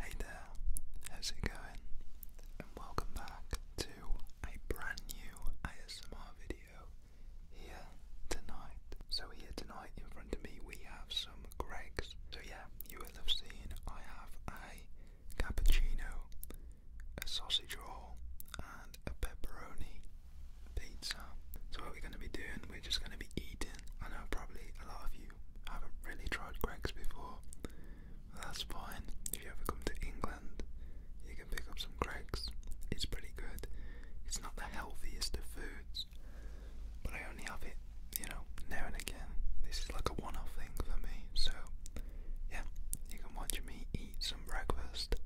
Hey there, how's it going? And welcome back to a brand new ASMR video here tonight. So here tonight in front of me we have some Greggs. So yeah, you will have seen I have a cappuccino, a sausage roll and a pepperoni pizza. So what we're going to be doing, we're just going to be eating. I know probably a lot of you I haven't really tried Greg's before, that's fine. If you ever come to England, you can pick up some Greg's. It's pretty good. It's not the healthiest of foods, but I only have it, you know, now and again. This is like a one off thing for me, so yeah, you can watch me eat some breakfast,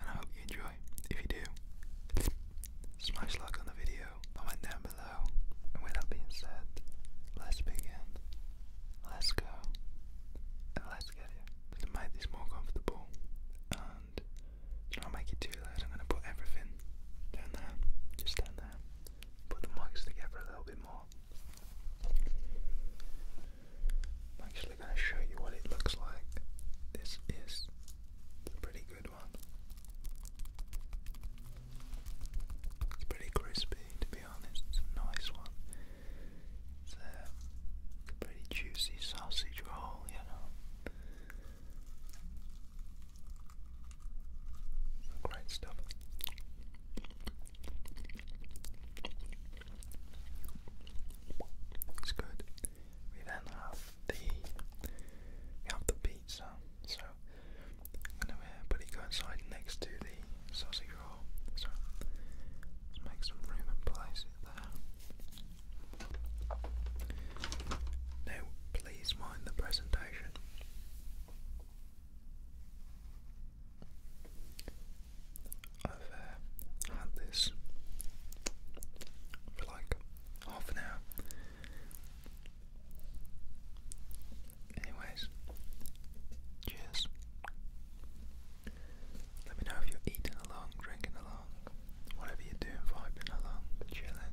and I hope you enjoy. If you do, smash like on the video, comment down below. And with that being said, let's begin. Let's go. let's get it. To make more comfortable and not make it too loud, I'm going to put everything down there. Just down there. Put the mics together a little bit more. I'm actually going to show you what it looks like. This is a pretty good one. It's pretty crispy, to be honest. It's a nice one. It's uh, a pretty juicy sausage roll, you know. great stuff. It's good. We then have the we have the pizza. So and then everybody go inside next to the sausage roll. So let's make some room and place it there. Now, please mind the presentation. I've uh, had this for like half an hour Anyways, cheers. Let me know if you're eating along, drinking along, whatever you're doing, vibing along, chilling.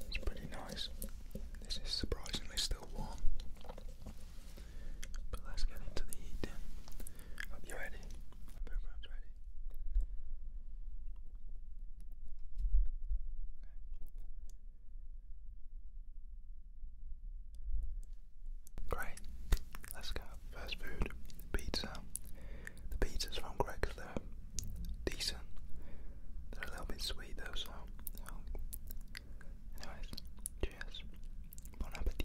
It's pretty nice. This is surprisingly still warm. But let's get into the heat. you ready. everyone's ready. Great. Let's go. First food, pizza. The pizza's from Greg's. They're decent. They're a little bit sweet though, so. Um, anyways, cheers. Bon appetit.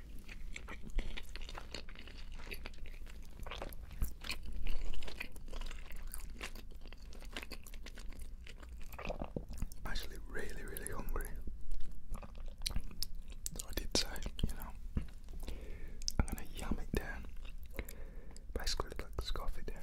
I'm actually really, really hungry. So I did say, you know, I'm gonna yam it down. Basically, like scoff it down.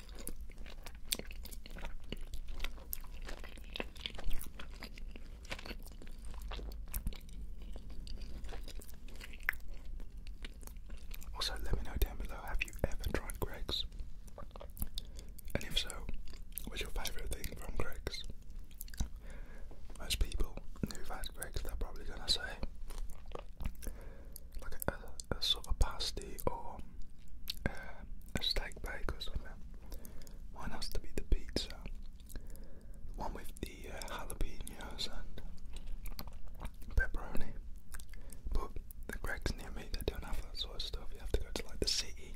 Also, let me know down below have you ever tried Greg's? And if so, what's your favourite thing from Greg's? Most people who've had Greg's, they're probably gonna say like a, sort of pasty or uh, a steak bake or something. One has to be the pizza, the one with the uh, jalapenos and pepperoni. But the Greg's near me, they don't have that sort of stuff. You have to go to like the city.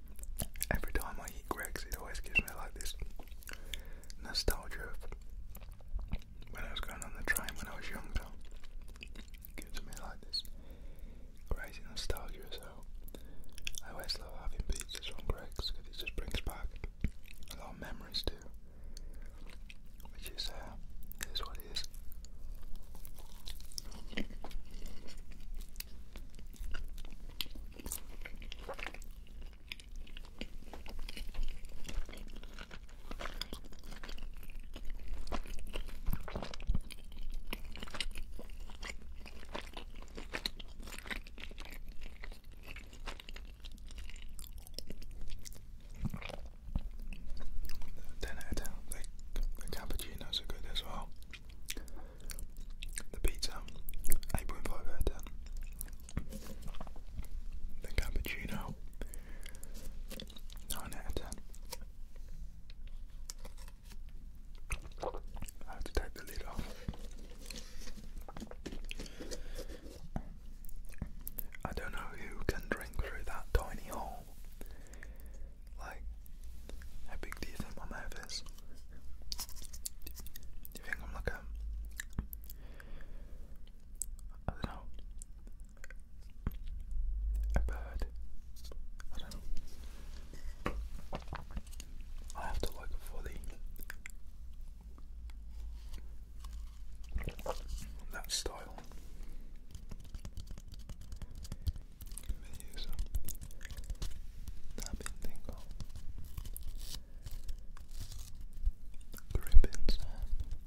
Every time I eat Greg's, it always gives me like this nostalgia of when I was going on the train when I was younger. gives me like this crazy nostalgia, so I always love having pizzas on Greg's because it just brings back a lot of memories too. Which is, uh, is what 10 out the cappuccinos are good as well. The pizza, 8.5 out of 10. The cappuccino, 9 out of 10. I have to take the lid off. I don't know who can drink through that tiny hole. Like, how big do you my mouth is? you think I'm like a. I don't know. A bird. I don't know. I have to look for the that style. Meyuso Tapping Tingle Gripping Sand Tingles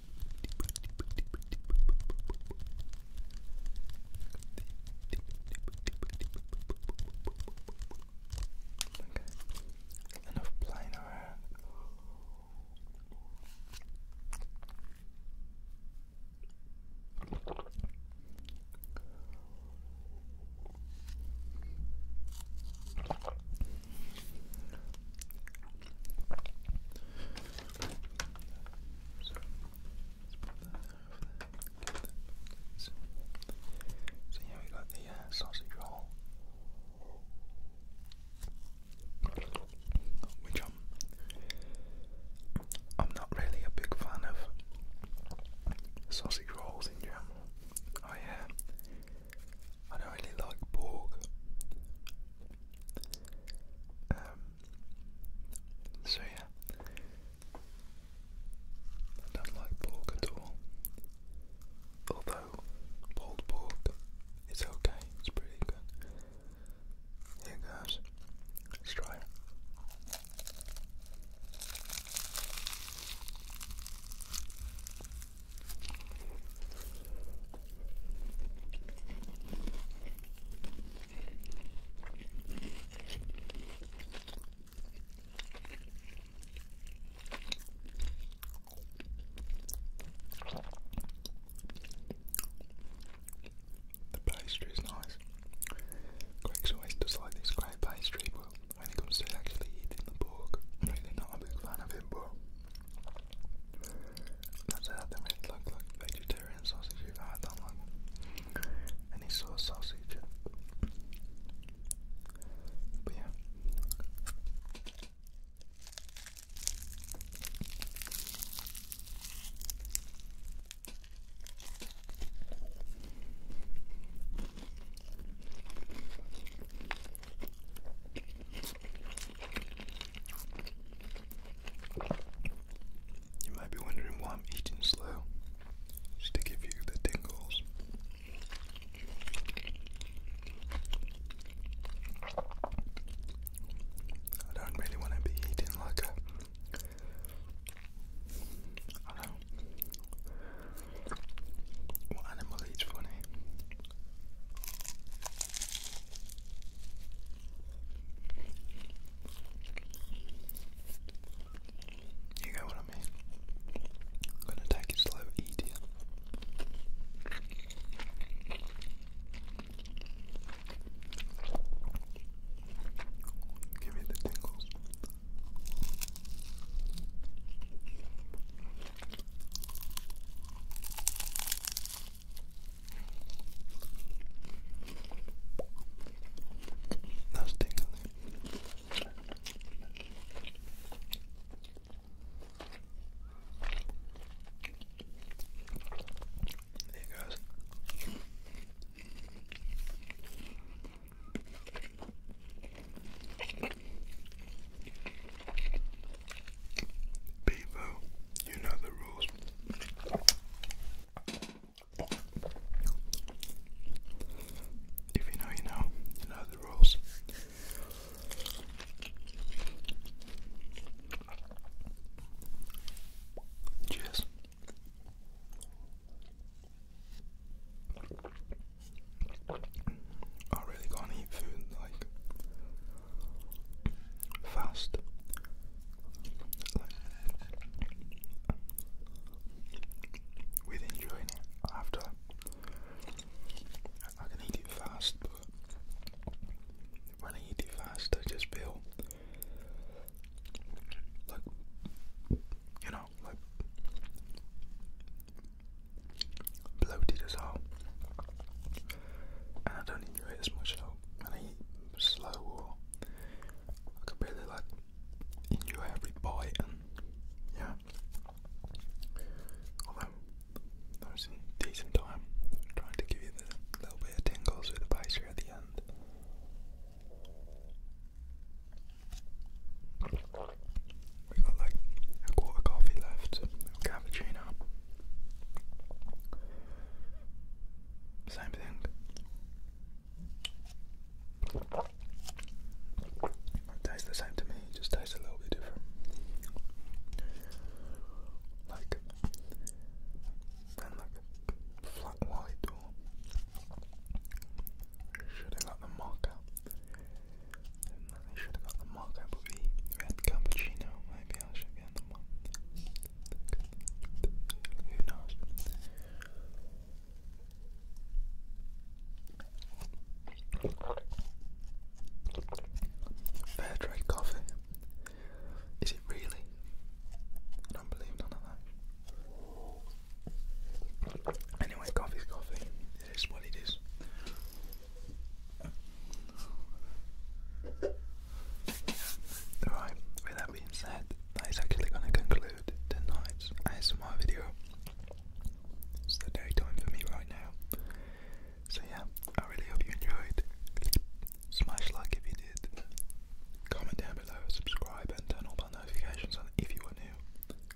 Okay. Enough playing around. So, so we got the uh, sausage roll, which I'm not really a big fan of sausage rolls in general. I uh, I don't really like pork. Um, so yeah, I don't like pork at all. Although pulled pork is okay, it's pretty good. Here goes, let's try it. The pastry is nice. Greg's always does this great pastry, but when it comes to actually eating the pork, i not a big fan of it, but that's how they made look like vegetarian sausage if I don't like any sauce sausage. But yeah. You might be wondering why I'm eating slow. Just to give you the tingles. I don't really want to be eating like a. I don't know. What animal eats funny? You get what I mean? I'm gonna take it slow, idiot. Give me the tingles. That's tingly. There it goes. Bevo, you know the rules. If you know, you know. You know the rules. Cheers. I really can't eat food like fast. With enjoying it after, I can eat it fast, when I eat it fast, I just feel like you know, like bloated as hell, and I don't you ate as much help and eat slow or I could barely like enjoy every bite yeah. Although that was decent time trying to give you the little bit of tingles with the pastry at the end. We got like a quarter coffee left, a cappuccino, same thing. tastes the same to me, just tastes a little bit different. Like, and like flat white or should I like the marker? I should have got the mug, Red cappuccino, maybe I should get the mug. Who knows? Fair trade coffee. Is it really? I don't believe none of that. Anyway, coffee's coffee. It is what it is. Alright, with that being said, that is actually going to conclude tonight's ASMR video. It's the daytime for me right now. So, yeah, I really hope you enjoyed. Smash like if you did. Comment down below, subscribe, and turn all bell notifications And if you are new.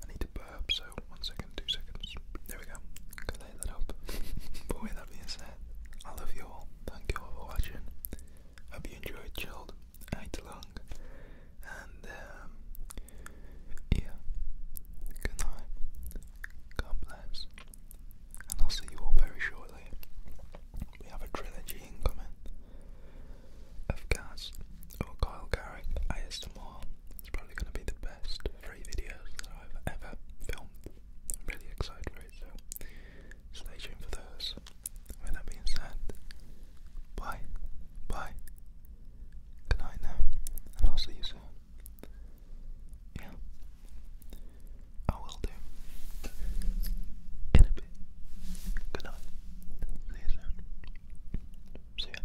I need to burp, so one second, two seconds. There we go. Can lay that up. with that being said, I love you all. Thank you all for watching. Hope you enjoyed chilled night long. And um, yeah, good night. God bless. And I'll see you all very shortly. We have a trilogy incoming of Gaz or Kyle Garrick ASMR. It's probably going to be the best three videos I've ever filmed. I'm really excited for it, so stay tuned for those. With that being said, bye, bye, good night now, and I'll see you soon. Yeah, I will do. In a bit. Good night. See you soon. See ya.